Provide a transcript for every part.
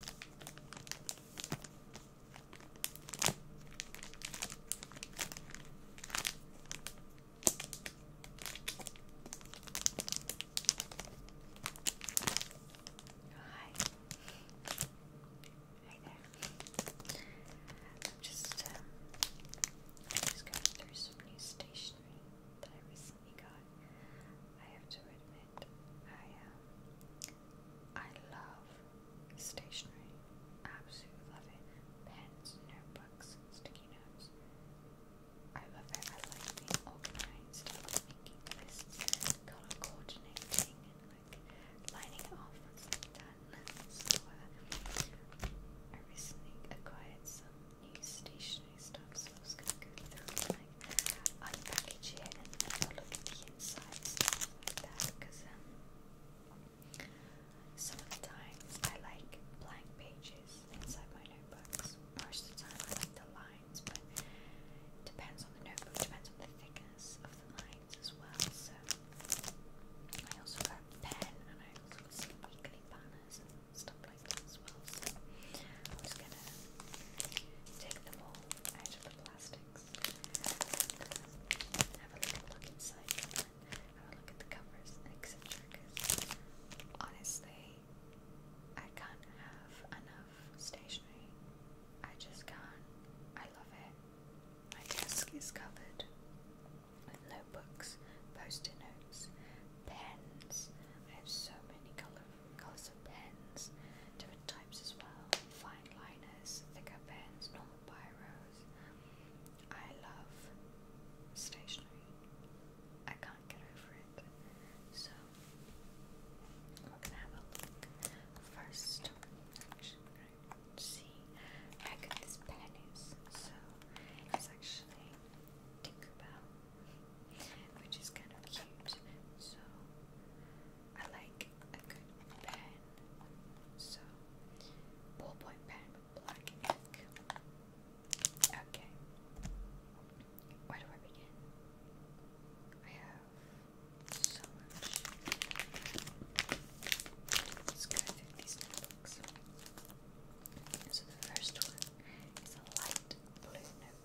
Hi. Hi there. I'm just going through some new stationery that I recently got. I have to admit it. I um, I love stationery. Absolutely love it. Pens, notebooks, sticky notes. I love it. I like being organized. I love making lists, color coordinating, and like lining it off once I'm done. So uh, I recently acquired some new stationery stuff, so I was gonna go through unpackage it and have look at the inside because um, I like blank pages inside my notebooks. Most of the time I like the lines, but depends on the notebook, depends on the thickness of the lines as well. So I also got a pen and I also got some weekly banners and stuff like that So I'm gonna take them all out of the plastic have a little look inside have a look at the covers, etc. Because honestly, I can't have enough stationery. I just can't. I love it. My desk is covered with notebooks, post-it notes, pens. I have so many color colours of pens, different types as well, fine liners, thicker pens, normal biros. I love stationery. I can't get over it. So we're gonna have a look first. Actually, see how good this pen is. So it's actually Tinkerbell, which is kind of cute. So I like a good pen, so ballpoint pen black ink. Okay, where do I begin? I have so much. Let's go through these notebooks. So the first one is a light blue notebook.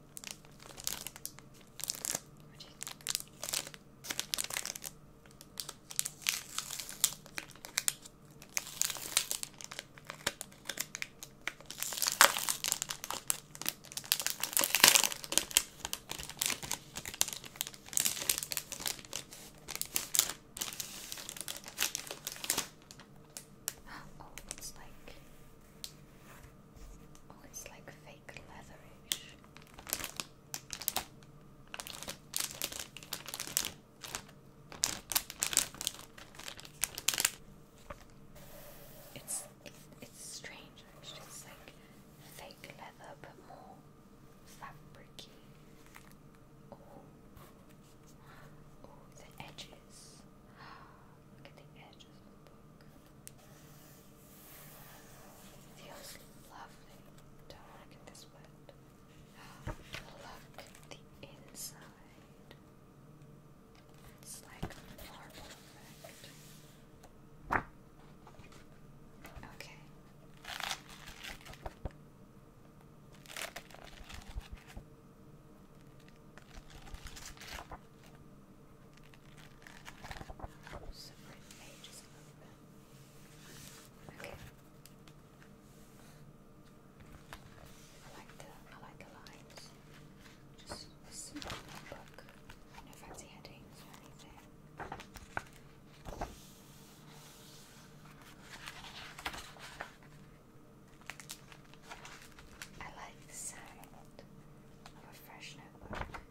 Oh, it's like Oh, it's like fake leatherish. It's it, it's strange actually. It's like fake leather, but more fabricy. Oh, oh, the edges. Look at the edges of the book. It feels lovely. Don't want to get this wet. Look at the inside. It's like marble effect. Okay. Separate the I like the lines. Just a simple book. No fancy headings or anything. I like the sound of a fresh notebook.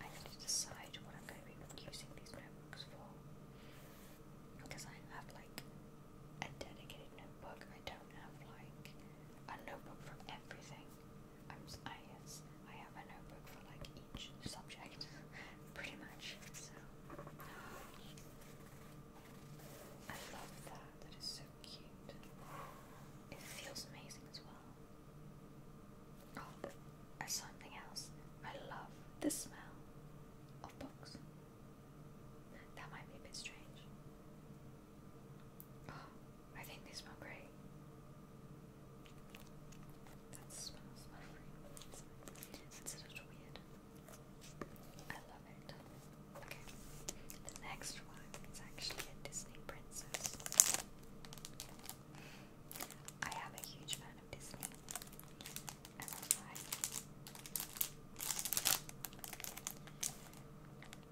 I need to decide what I'm going to be using these notebooks for. Because I have like a dedicated notebook. I don't have like a notebook for everything. I'm I yes, I have a notebook for like each subject, pretty much. So I love that. That is so cute. It feels amazing as well as something else. I love the smell of books. That might be a bit strange. Oh, I think they smell great. That smells lovely. It's a little weird. I love it. Okay. The next one is actually a Disney princess. I am a huge fan fan of Disney.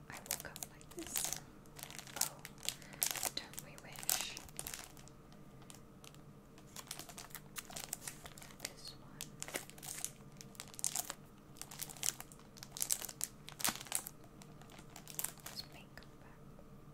I woke up like this. Oh, don't we wish? This one. Let's it back.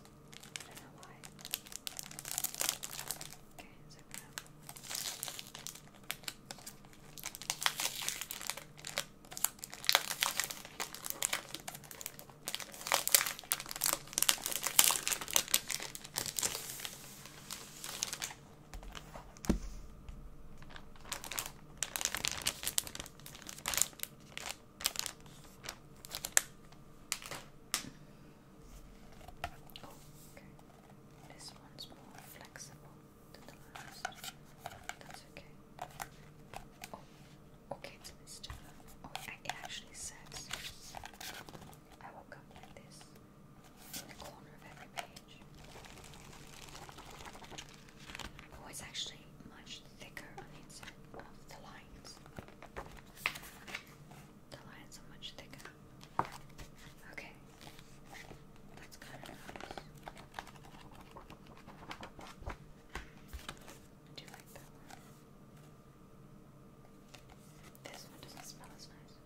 I don't know why. Okay, so Okay, Oh, okay. This one's more flexible than the last. That's okay. Oh, okay, it's this Oh, it actually says I will come like this in the corner of every page. Oh, it's actually much thicker on the inside of the lines. The lines are much thicker. Okay, that's kind of nice. I do like that This one doesn't smell as nice.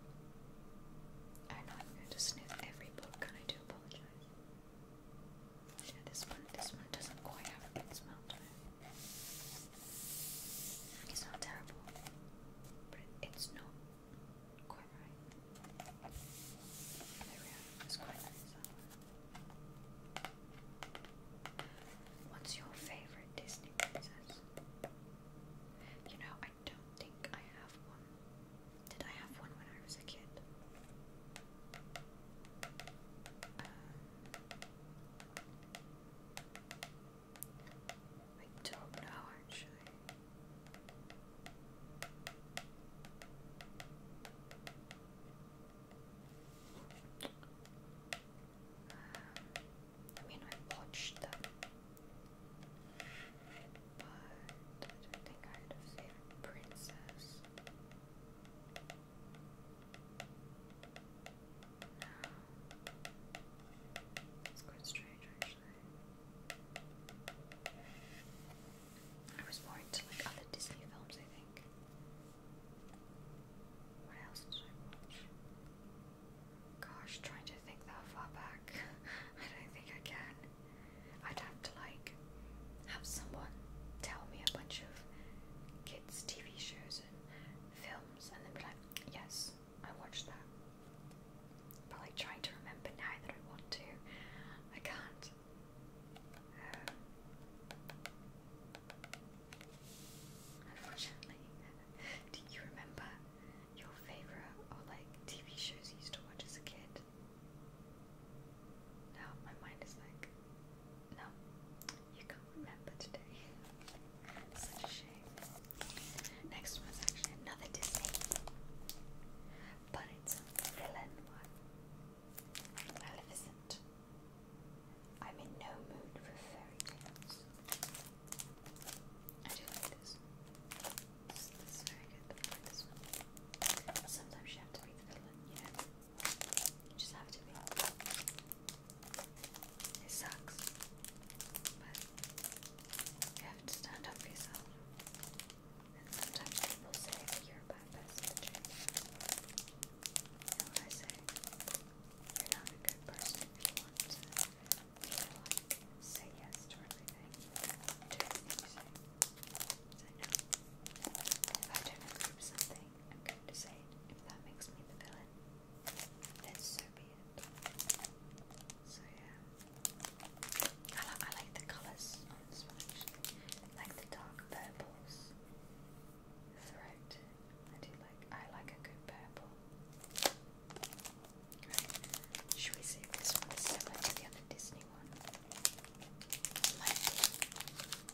I know i going to sniff every book, and I do apologize. Yeah, this one, this one doesn't quite have a good smell to it. It's not terrible, but it's not quite right. What's your favorite Disney princess? You know, I don't think I have one. Did I have one when I was a kid? Um, I don't know actually. Um, I mean, I watched them, but I don't think I had a favorite princess. It's quite strange actually. I was more into like other Disney films, I think. What else Gosh, trying to think that far back. I don't think I can. I'd have to like have someone tell me a bunch of TV shows and films, and then be like, yes, I watched that. But like trying to remember now that I want to, I can't. Um, unfortunately, do you remember your favorite or like TV shows you used to watch as a kid? Now my mind is like, no. You can't remember today. Such a shame. Next one's actually another Disney, but it's villain one. Maleficent. I'm in no mood for fairy tales. I do like this. This, is very good. Sometimes you have to be the villain, you just have to be. It sucks, but you have to stand up for yourself. And sometimes people say that you're a bad person to what I say? You're not a good person if you want to, say yes to everything, to everything you say. Say I don't agree something, thing I'm going to say If that makes me the villain, then so be So yeah. I, li I like the colours on this one actually. Like the dark purples throughout. I do like I like a good purple. Should we see if this one is similar to the other Disney one?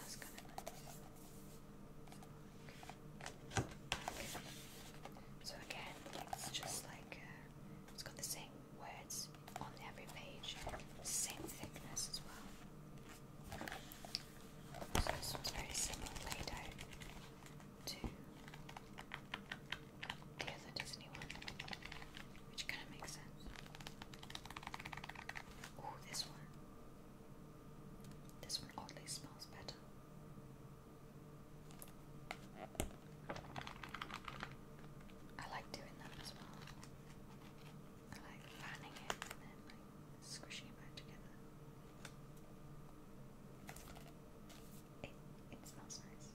That's kind So again, it's just like uh, it's got the same words on every page, same thickness as well. So this one's very similar laid to the other Disney one, which kind of makes sense. Oh, this one. This one oddly smells better. I like doing that as well. I like fanning it and then like squishing it back together. It it smells nice.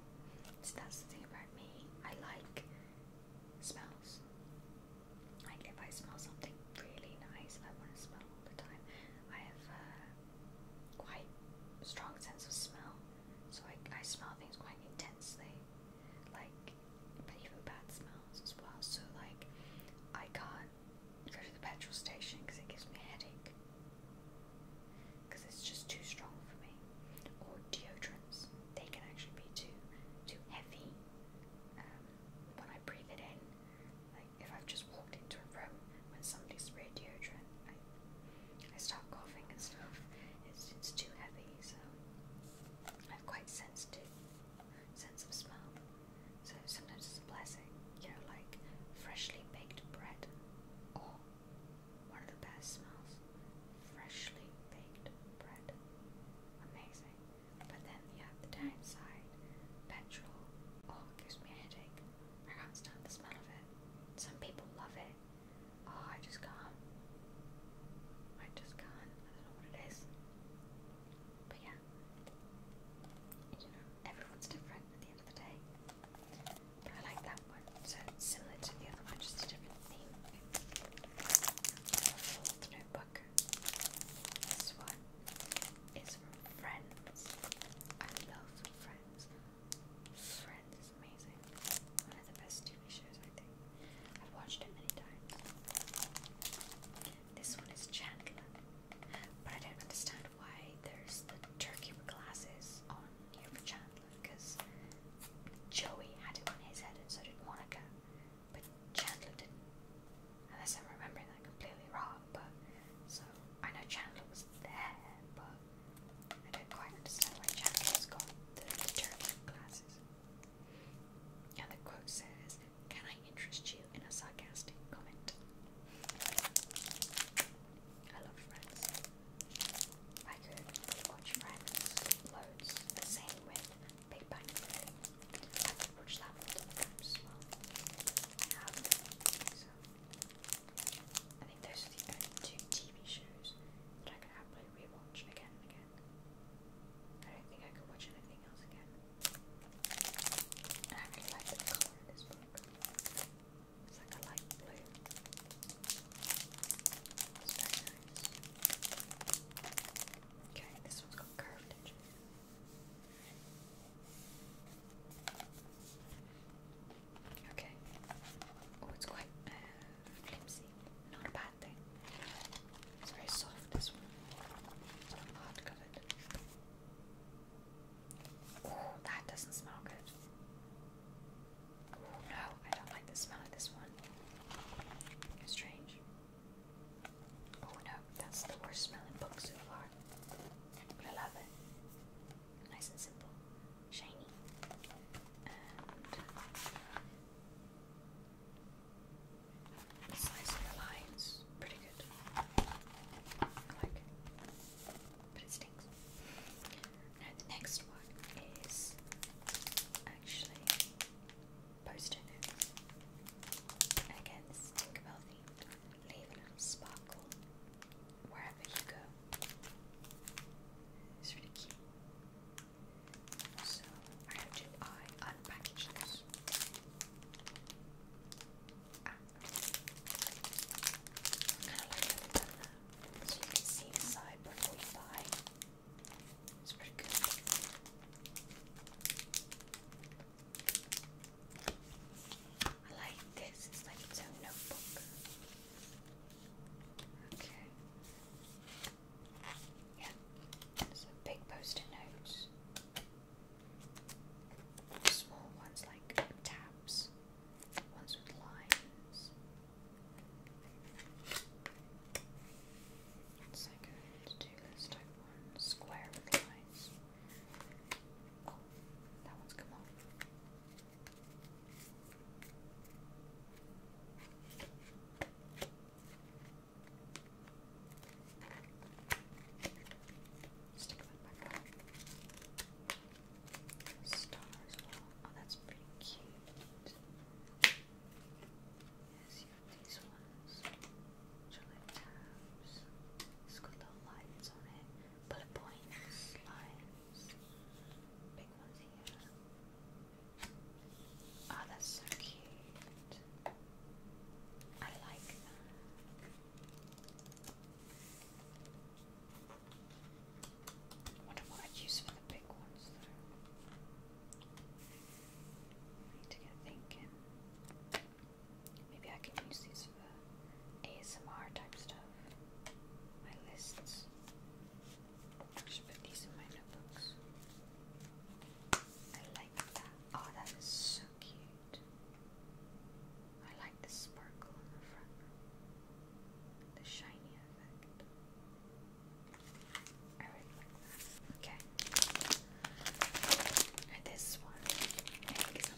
So that's the thing about me. I like smells. Like if I smell something really nice that I want to smell all the time, I have a quite strong sense of smell. So I, I smell things quite intensely, like even bad smells as well. So like I can't go to the petrol station because it gives me a headache. Because it's just too strong for me. Or deodorants, they can actually be too too heavy. Um, when I breathe it in, if I've just walked into a room when somebody's sprayed deodorant, I, I start coughing and stuff. It's it's too heavy, so I've quite sensitive sense of smell. So sometimes it's a blessing, you know, like freshly baked bread. Oh, one of the best smells. Freshly baked bread. Amazing. But then you have the downside. Petrol, oh, it gives me a headache. I can't stand the smell of it. Some people love it. Oh, I just can't. I just can't. I don't know what it is. But yeah, you know, everyone's different at the end of the day. But I like that one. So it's similar to the other one, just a different theme. Fourth notebook. This one is from Friends. I love Friends. Friends is amazing. One of the best TV shows, I think. I've watched it many times. This one is Chandler. But I don't understand why there's the turkey with glasses on here for Chandler because Joey had it on his head and so did Monica. But Chandler didn't. Unless I'm remembering that completely wrong, but so I know Chandler was there, but I don't quite understand why Chandler's got the deterrent glasses. And the quote says, Can I interest you in a sarcastic comment? I love Friends. I could watch Friends loads, the same with Big Bang I've approached that I think those are the only two TV shows that I could happily rewatch again and again. I don't think I could watch anything else again. I really like the colour of this book. It's like a light blue. It's very nice. Okay, this one's got curved edges. Okay. Oh, it's quite uh, flimsy. Not a bad thing. It's very soft, this one. not hard covered. Oh, that doesn't smell good. Oh, no, I don't like the smell of this one. strange. Oh no, that's the worst smelling book so far. But I love it. Nice and simple, shiny, and nice lines. Pretty good. I like it. But it stinks. Now, the next one is actually post it. And Tinkerbell themed leave a little sparkle wherever you go. It's really cute. So I have to unpackage this. Ah. Kind of like a banana, so you can see inside before you buy. It's pretty good. I like this. It's like its own notebook. Okay. Yeah. So big post-it Small ones like tabs. Ones with lines. It's like a to-do list type one. Square with lines that one's come Stick that back on. Star Oh, that's pretty cute. Yes, these ones. It's got little lights on it. Bullet points, lines, big ones here. Oh, that's so cute. I like that. wonder what I'd use for the big ones though. need to get thinking. Maybe I can use these for ASMR type stuff. My lists. I should put these in my notebooks. I like that. Oh, that is so cute. I like the sparkle in the front. The shiny effect. I really like that. Okay. And this one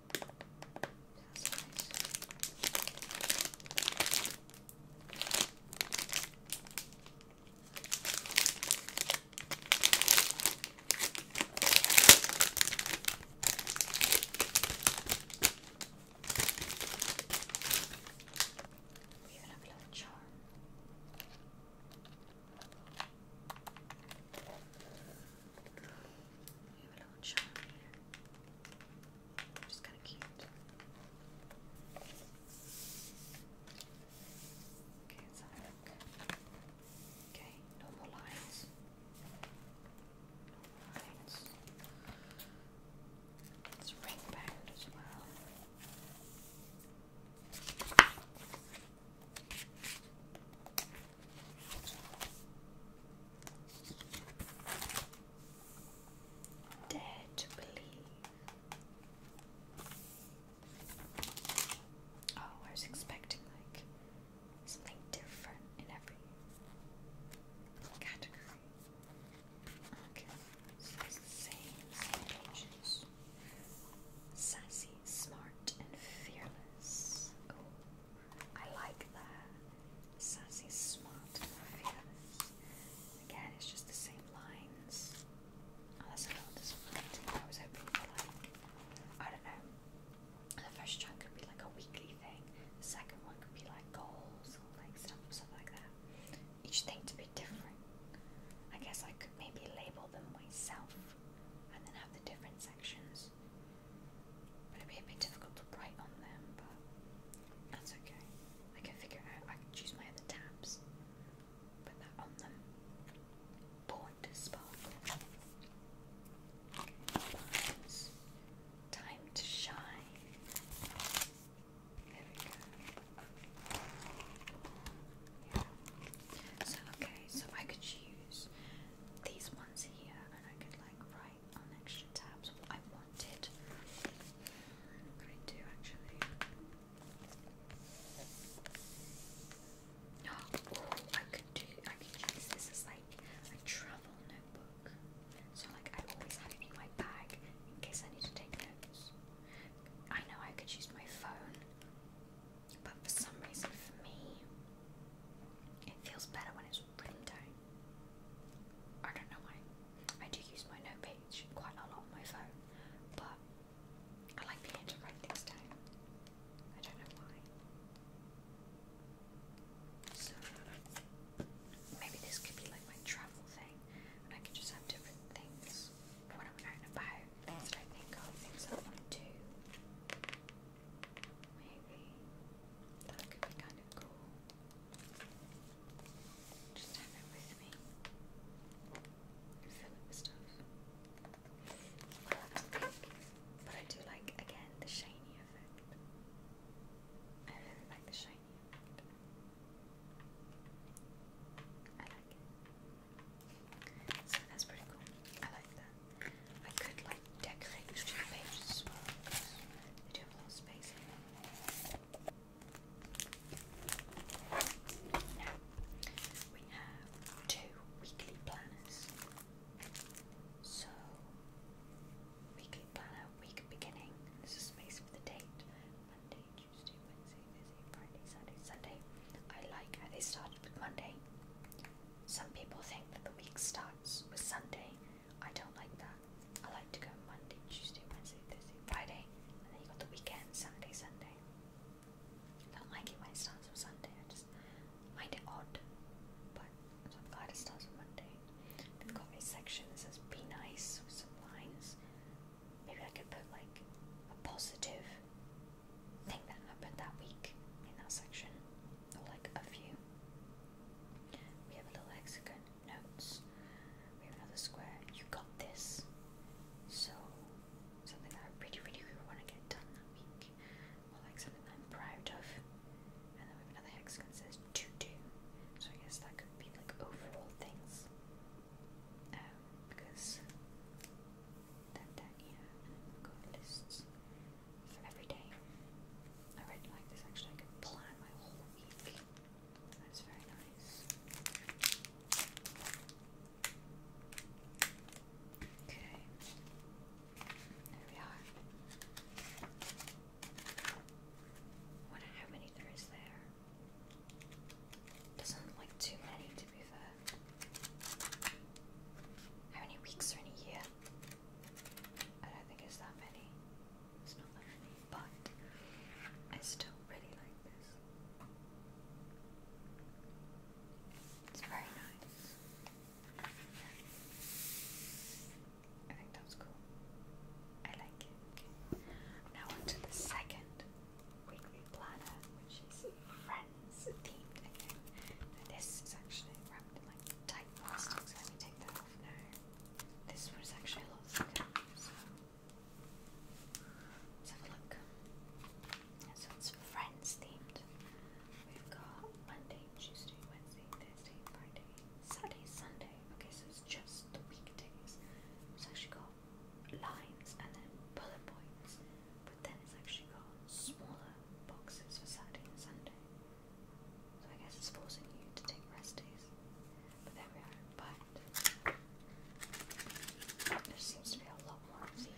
That's nice. We even have a little charm. We have a yellow charm here. kind of cute. Okay, let lines. No lines. let ring band as well. Dare to believe. Oh, I was expecting like something different in every category. Okay, it's the same, same pages. Sassy, smart, and fearless. I like that. Sassy, smart, fearless. Again, it's just the same lines. Oh, that's a little disappointing. I was hoping for like, I don't know. The first chunk could be like a weekly thing. The second one could be like goals or like stuff, stuff like that. Each thing to be different. I guess I could maybe label them myself and then have the different sections. But it'd be a bit difficult to write on them, but that's okay. I can figure out, I can choose my other tabs, put that on them. Born to sparkle. Time to shine. There we go. So okay, so I could choose these ones here, and I could like write on extra tabs what I wanted. I'm going to do actually. Oh, I could do. I could use this as like a travel notebook. So like I always have it in my bag in case I need to take notes. I know I could use my phone, but for some reason for me, it feels better when it's rim tone. I don't know why. I do use my note page quite a lot on my phone, but I like being able to write things down. I don't know why. So maybe this could be like my travel thing, and I could just have different things when I'm out and about, things I think of, things I want to do. Maybe that could be kind of cool. Just have it with me. Fill it with stuff. but I do like again the shiny effect. I really like the shiny effect. I like it. So that's pretty cool. I like that. I could like decorate these two pages do have a little space in we have two weekly planners. So, weekly planner, week beginning, this is space for the date Monday, Tuesday, Wednesday, Thursday, Friday, Saturday, Sunday. I like how they started with Monday. Some people think that the week starts with Sunday I don't like that. I like to go Monday, Tuesday, Wednesday, Thursday, Friday, and then you got the weekend, Saturday, Sunday. I don't like it when it starts on Sunday. I just find it odd, but I'm glad it starts on Monday. They've got a section that says "Be nice" with some lines. Maybe I could put like a positive thing that happened that week in that section like a few. We have a little hexagon, notes. We have another square, you got this. So, something that I really, really, want to get done that week, or like something I'm proud of. And then we have another hexagon says to do. So, I guess that could be like overall things. Um, because then we lists for every day. I really like this actually, I could plan my whole week. That's very nice. Okay. There we are. wonder how many there is there. Doesn't look like too many to be fair. How many weeks are in year? them. I don't think it's that many. It's not that many, but I still really like this. It's very nice. I think that's cool. I like it. Now on the second weekly planner, which is friends themed this is actually wrapped in like tight plastic, let me take that off now. This was actually a lot thicker, so let's have a look. So it's Friends themed. We've got Monday, Tuesday, Wednesday, Thursday, Friday, Saturday, Sunday. Okay, so it's just the weekdays. It's actually got lines and then bullet points, but then it's actually got smaller boxes for Saturday and Sunday. So I guess it's forcing you to take rest days. But there we are. But there seems to be a lot more of these.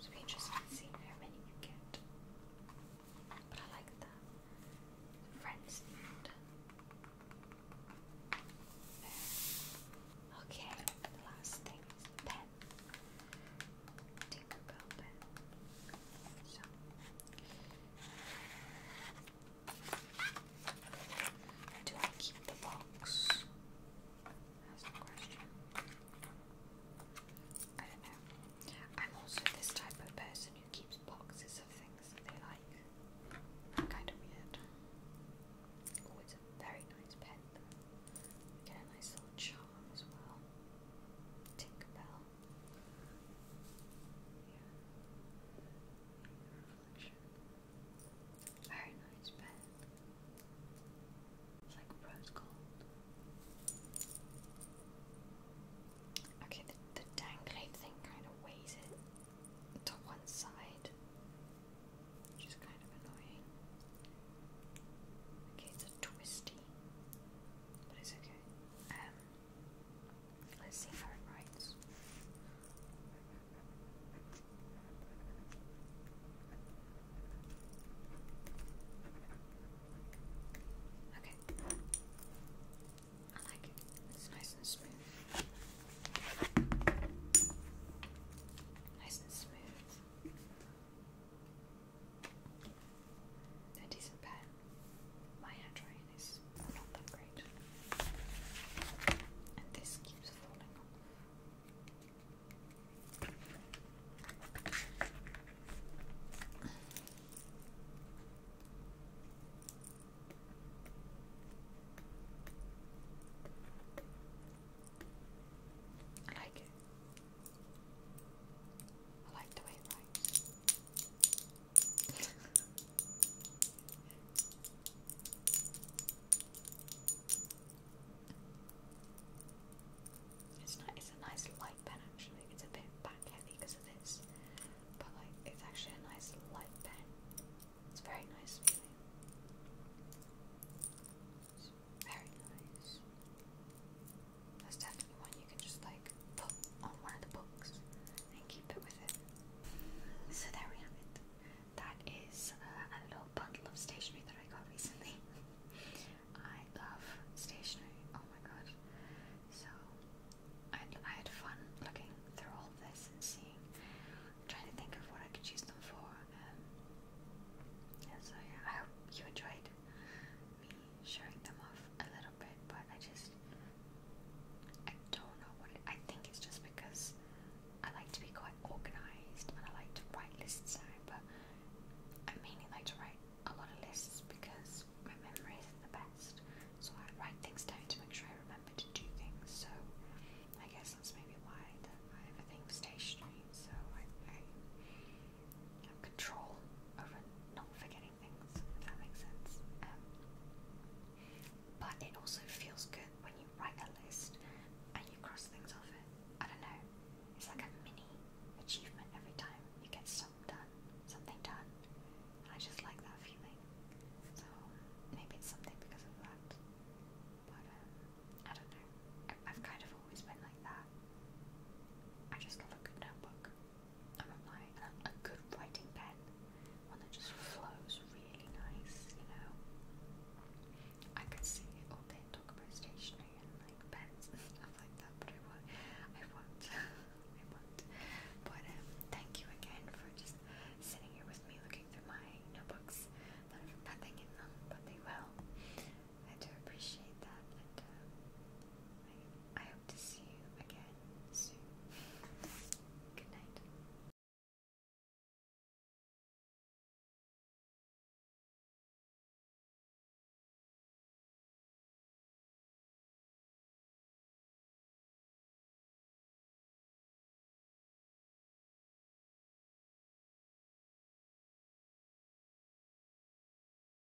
So be interested in how many you get. But I like that. Friends need. Okay, the last thing is the pen. Tinkerbell pen. So. Do I keep the box? That's the question. I don't know. I'm also this type of person who keeps boxes of things that they like. kind of weird. very nice pen Get a nice little charm. Tom as Very nice bed. It's like rose gold. Okay, the, the dangly thing kind of weighs it to one side, which is kind of annoying. Okay, it's a twisty. Um, let's see how it writes. Okay, I like it. It's nice and smooth. Nice and smooth a decent pen. My handwriting is not that great. And this keeps falling off. I like it. I like the way it's not. It's a nice light pen actually. It's a bit back heavy because of this, but like it's actually a nice light pen. It's very nice feeling. very nice. That's definitely one you can just like put on one of the books and keep it with it. So there we have it. That is uh, a little bundle of stationery that I got recently. I love stationery. Oh my god. So I, I had fun looking through all this and seeing, trying to think of what I could use them for. Um, and so yeah, I hope you enjoyed me showing them off a little bit, but I just I don't know what I think it's just because I like to be quite organized and I like to write lists out, but I mainly like to write a lot of lists because my memory isn't the best, so I write things down to make sure I remember to do things. So I guess that's maybe why that I have a thing for stationery, so I have control over not forgetting things, if that makes sense. Um, but it also feels good when you write a list and you cross things off it. I don't know. It's like a mini achievement every time you get something done, something done. I just like that feeling. So maybe it's something because of that. But um, I don't know. I've kind of always been like that. I just love a good notebook. I want my a, good writing pen, one that just flows really nice, you know. I could see all day talk about stationery and like pens and stuff like that, but I will I will I will But um, thank you again for just sitting here with me, looking through my notebooks that nothing in them, but they will. I do appreciate that, um, I to see you again soon. Good night.